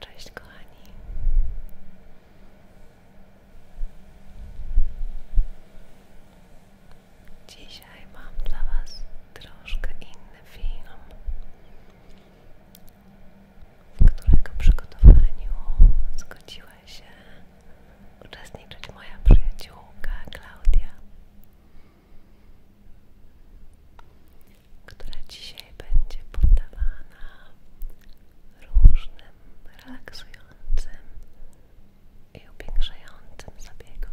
Cześć kochani. Dzisiaj mam dla Was troszkę inny film, w którego przygotowaniu zgodziła się uczestniczyć moja przyjaciółka Klaudia która dzisiaj będzie poddawana różnym relaksującym i upiększającym zabiegom.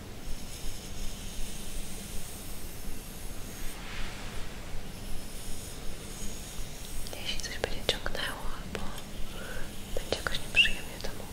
Jeśli coś będzie ciągnęło albo będzie jakoś nieprzyjemnie, to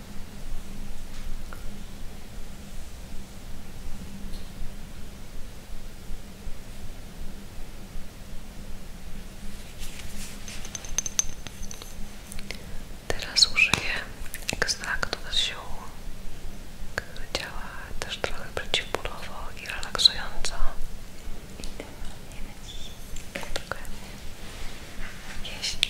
Teraz użyję ekstraktu z ziół, który działa też trochę przeciwbólowo i relaksująco. Idealnie na dziś. Dokładnie. Jeśli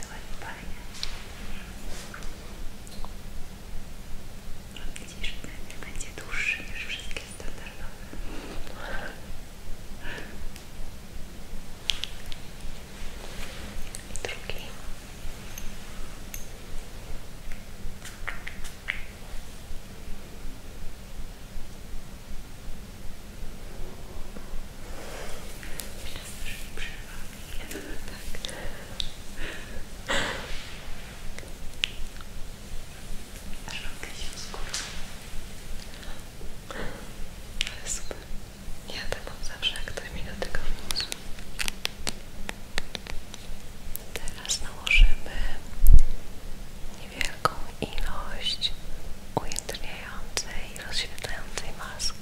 To ładnie fajnie. Widzisz, ten będzie dłuższy niż wszystkie standardowe. I drugi. Teraz też mi przerwa. Nie, Tak. Aż rąbkę się skórę. Ale super. Ja tak mam zawsze, jak ktoś mi dotyka mózgu. Teraz nałożymy niewielką ilość ujędrniającej i rozświetlającej maski.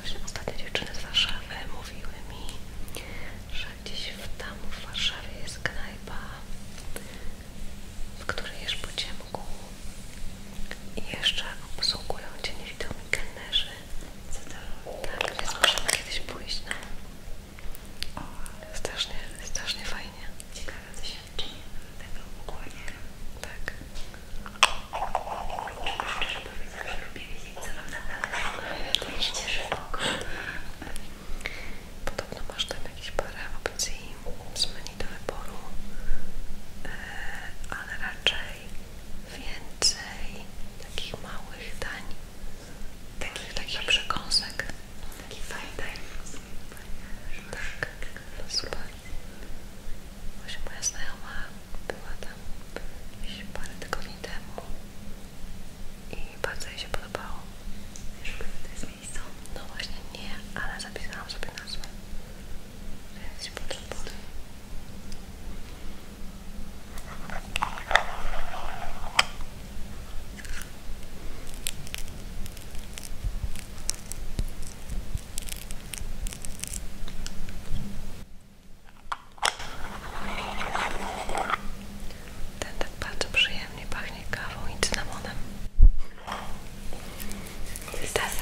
Właśnie ostatnio dziewczyny z Warszawy mówiły mi, że gdzieś w tam w Warszawie jest knajpa, w której jesz po ciemku i jeszcze obsługują Cię niewidomi kelnerzy co to? Tak, więc możemy kiedyś pójść, no. O, strasznie, strasznie fajnie. Ciekawe doświadczenie tego ukłania. Tak. Szczerze powiedzieć, że lubię wiedzieć, co mam na pewno. Ja się cieszę. Podobno masz tam jakieś parę opcji zmienić do wyboru, e, ale raczej więcej takich małych dań, takich, takich przekąsek. Taki fajny dań. Tak, no super. Właśnie moja znajoma była tam jakieś parę tygodni temu i bardzo jej się podobało. Wiesz, to jest miejsce? No właśnie nie, ale zapisałam sobie nazwę. Więc Ten tak bardzo przyjemnie pachnie kawą i cynamonem. Tak, tak.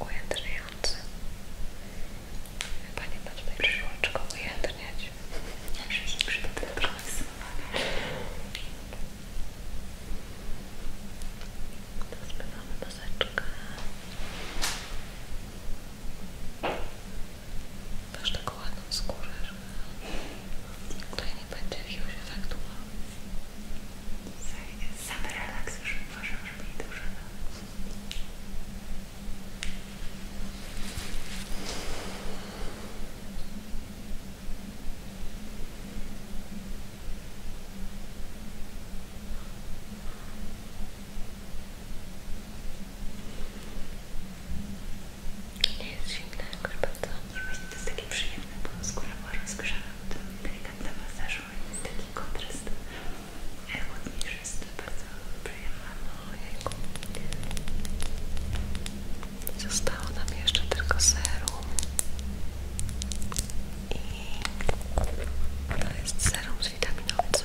Ujędrniający. Chyba nie ma tutaj przyłączko ujędrniać. Zawsze się przyda trochę Zbywamy maseczkę. Masz taką ładną skórę, że tutaj nie będzie jakiegoś efektu. Sam relaks już uważam, żeby jej dużo Dobrze. Nie jest zimna jakoś bardzo. I właśnie to jest takie przyjemne, bo skóra była rozgrzana do delikatnego i jest taki kontrast chłodniejszy, jest bardzo przyjemna. Ojejku. Zostało nam jeszcze tylko serum i to jest serum z witaminą C.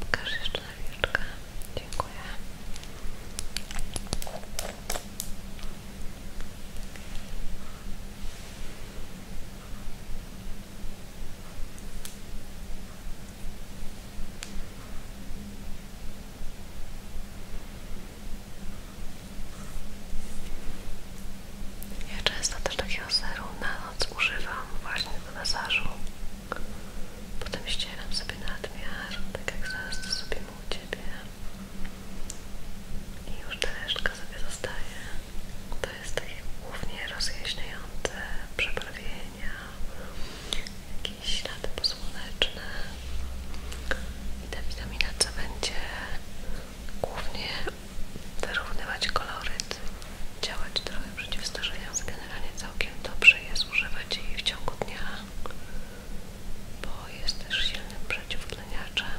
Pokaż jeszcze nawieczkę. Dziękuję. Dobra, ja często też takiego seru na noc używam właśnie do masażu. Potem ścieram sobie nadmiar, tak jak zaraz to sobie u Ciebie. I już ta resztka sobie zostaje. To jest takie głównie rozjaśniające przebarwienia, jakieś ślady posłoneczne i ta witamina C będzie głównie wyrównywać koloryt, działać trochę przeciwstarzając, generalnie całkiem dobrze jest używać jej w ciągu dnia, bo jest też silnym przeciwtleniaczem.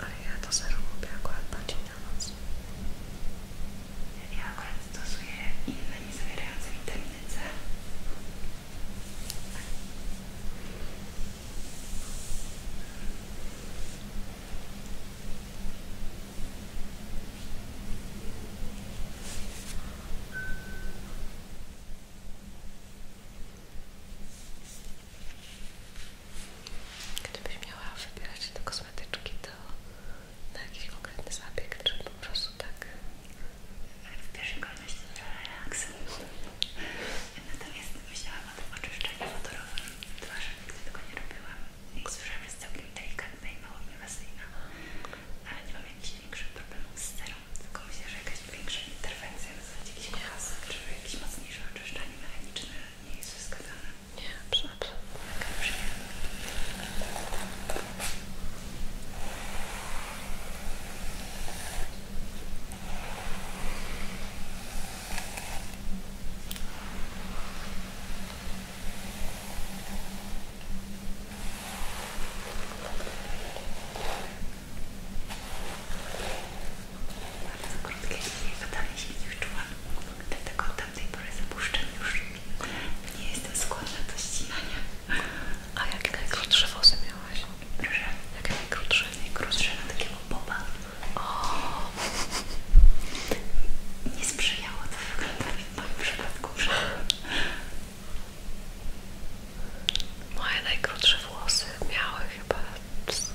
Ale ja to serum lubię akurat bardziej na noc. Ja akurat stosuję inne nie zawierające witaminy C. Gdybyś miała wybierać te kosmetyczki, na jakiś konkretny zabieg, czy po prostu tak? W pierwszej kolejności to relaks. Natomiast myślałam o tym oczyszczeniu wodorowym twarzy, nigdy tego nie robiłam. Jak słyszałam, jest całkiem delikatna i mało inwazyjna. Ale nie mam jakichś większych problemów z cerą, tylko myślę, że jakaś większa interwencja, w zasadzie jakiś hasł, czy jakieś mocniejsze oczyszczanie mechaniczne nie jest wskazane. Nie, absolutnie. Taka przyjemna. Bardzo krótkie linie, wydaje się nie wyczułam, dlatego od tamtej pory zapuszczam już nie jestem skłonna do ścinania. A jakie najkrótsze włosy miałeś, Proszę. Jakie najkrótsze? Najkrótsze na takiego boba. O. Nie sprzyjało to wyglądać w moim przypadku. Moje najkrótsze włosy miały chyba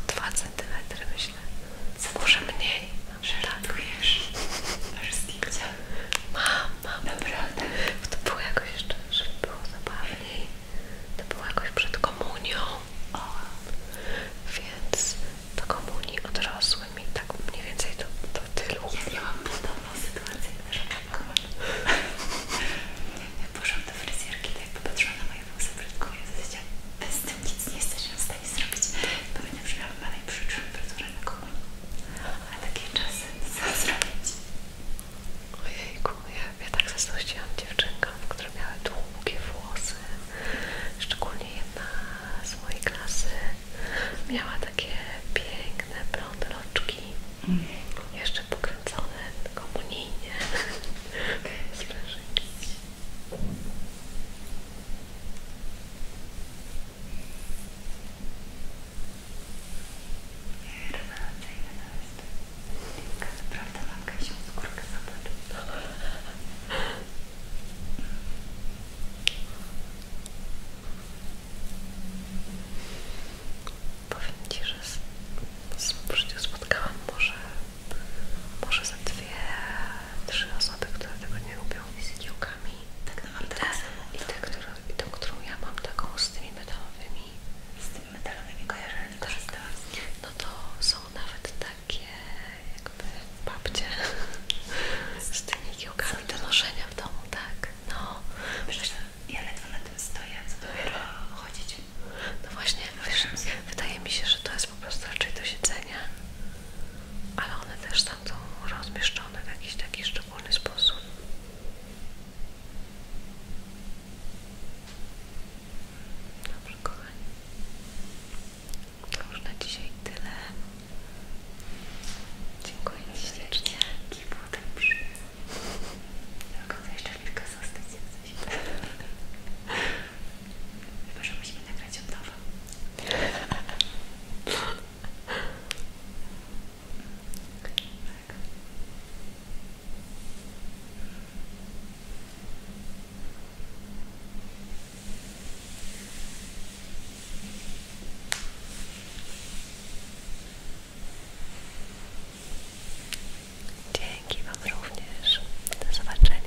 2 cm myślę. Może mniej. Żartujesz. Aż zdjęcia. Mam, mam. Naprawdę? To było jakoś jeszcze, żeby było zabawniej. To było jakoś przed komunią. O. Więc do komunii odrosłym i tak mniej więcej do, do tylu. Ja miałam podobną sytuację, że jak poszłam do fryzjerki, to tak jak popatrzyła na moje włosy, brzydkuje w zasadzie bez tym nic nie jesteśmy w stanie zrobić. Pamiętam, że miałam dalej przyczyny, które na komunii mamy takie czasy, co zrobić? Ojejku, ja, ja tak zazdrościłam dziewczynkom, które miały długie włosy. Szczególnie jedna z mojej klasy miała takie piękne, blond mhm. Jeszcze pokręcone komunijnie. Okay. Rewelacyjne to jest. Piękna, naprawdę mam gęsią skórkę, zobacz. Powiem Ci, że w życiu spotkałam może, może za dwie, trzy osoby, które tego nie lubią z kiełkami tak naprawdę tak. razem i tą, którą, i tą, którą ja mam taką z tymi metalowymi z tymi metalowymi kojarzeniami tak. korzystałam no to są nawet takie jakby babcie z tymi kiełkami do noszenia w domu, tak no Przecież ja ledwo na tym stoję, co dopiero chodzić no właśnie, wydaje mi się, że to jest po prostu raczej do siedzenia ale one też tam są rozmieszczone w jakiś taki szczególny sposób. Dobrze, kochani. To już na dzisiaj tyle. Dziękuję ślicznie. Jaki był ten przyjemny. Do końca jeszcze chwilkę zostać jak coś. Chyba, że musimy nagrać od nowa. Dzięki Wam również. Do zobaczenia.